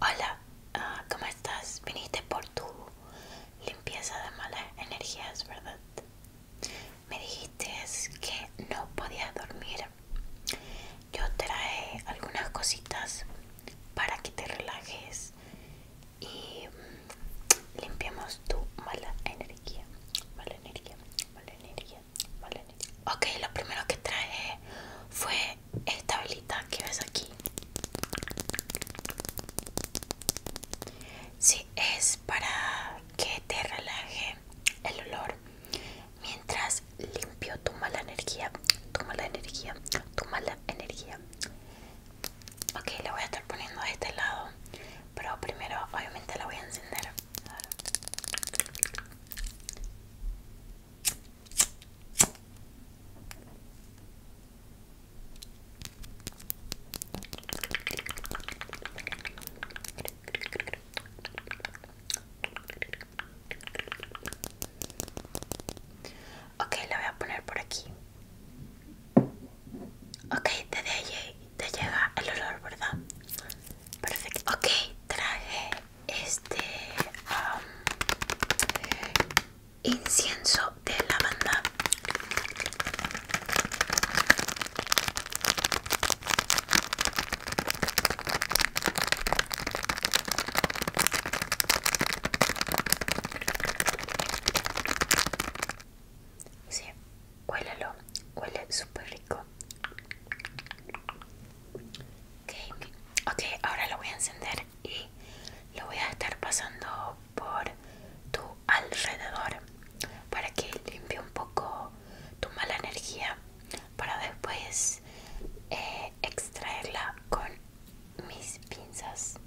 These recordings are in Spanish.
Hola, ah, ¿cómo estás? Viniste por tu limpieza de malas energías, ¿verdad? Me dijiste que no podías dormir. Yo trae algunas cositas para que te relajes y mm, limpiemos tu mala energía. Mala energía, mala energía, ¿vale? Ok, lo primero que traje fue esta velita que ves aquí. Sí, es para que te relaje el olor mientras limpio tu mala energía, tu mala energía, tu mala energía. Ok, le voy a estar poniendo a este lado, pero primero obviamente la voy a encender. Ok, la voy a poner por aquí. Ok, te, de, te llega el olor, ¿verdad? Perfecto. Ok, traje este incienso de lavanda Sí, cuélalo, huele súper rico. Okay. ok, ahora lo voy a encender y lo voy a estar pasando por tu alrededor para que limpie un poco tu mala energía para después eh, extraerla con mis pinzas.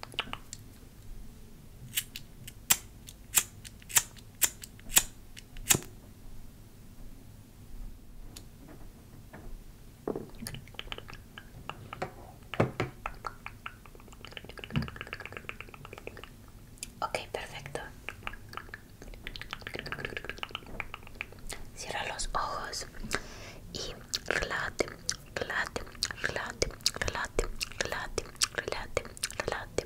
Ok, perfecto. Cierra los ojos y relate relate relate relate relate relate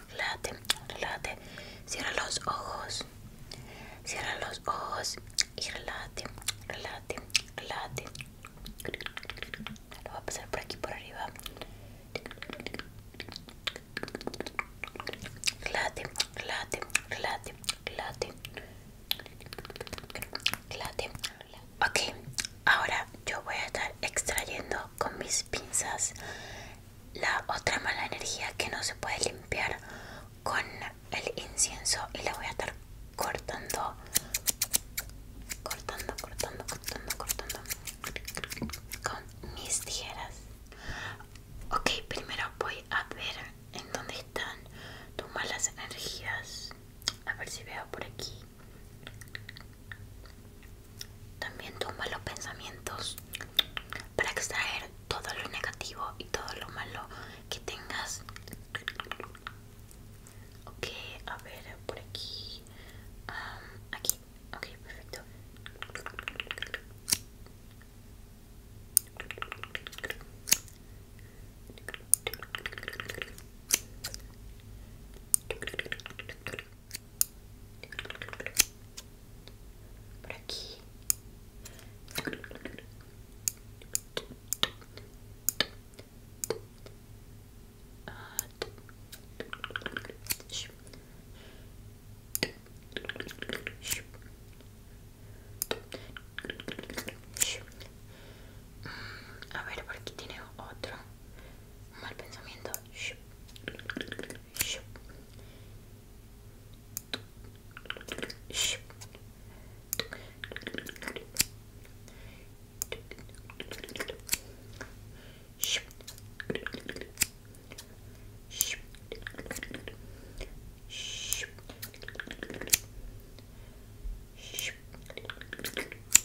Relate, relate, cierra los ojos, cierra los ojos y relate, relate, relate Lo voy a pasar por aquí, por arriba. late, relate, relate, relate Relate Ok, ahora yo voy a estar extrayendo con mis pinzas la otra mala energía que no se puede limpiar con el incienso y la voy a estar cortando cortando cortando cortando cortando con mis tijeras ok primero voy a ver en dónde están tus malas energías a ver si veo por aquí también toma los pensamientos para extraer todo lo negativo y todo lo malo que tengas. Ok, a ver, por aquí. aquí, ok, perfecto. Por aquí. A ver, por aquí tiene otro mal pensamiento.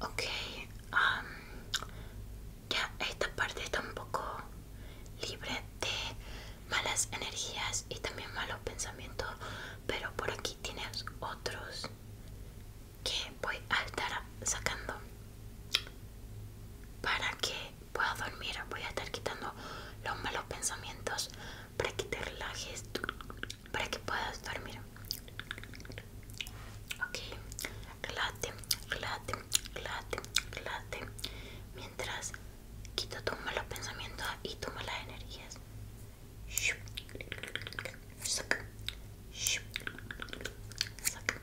Ok, um, ya esta parte está un poco libre de malas energías y también malos pensamientos, pero por aquí tienes otros que voy a estar sacando para que Puedo dormir. Voy a estar quitando los malos pensamientos para que te relajes, para que puedas dormir. Ok, relájate, relájate, relájate, relájate. Mientras quito tus malos pensamientos y tus malas energías. Saca, saca, saca.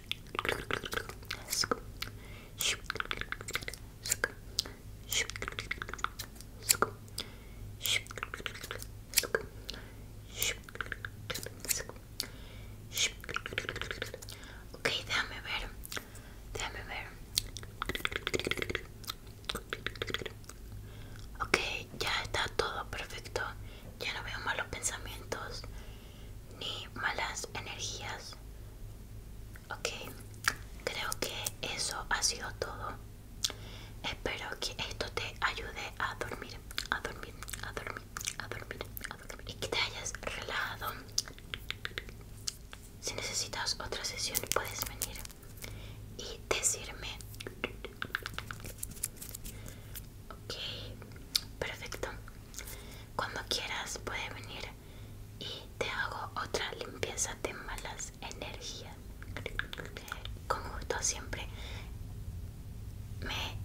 Okay, déjame ver. Déjame ver. Okay, ya está todo perfecto. Ya no veo malos pensamientos ni malas energías. Ok, creo que eso ha sido todo. Espero que esto te ayude a dormir, a dormir, a dormir, a dormir, a dormir. Y que te hayas relajado. Si necesitas otra sesión puedes venir y decirme Ok, perfecto. Cuando quieras puedes venir y te hago otra limpieza de malas energías. Con gusto siempre me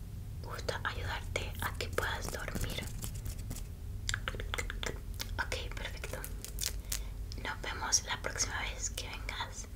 gusta ayudarte a que puedas dormir. Ok, perfecto. Nos vemos la próxima vez que vengas.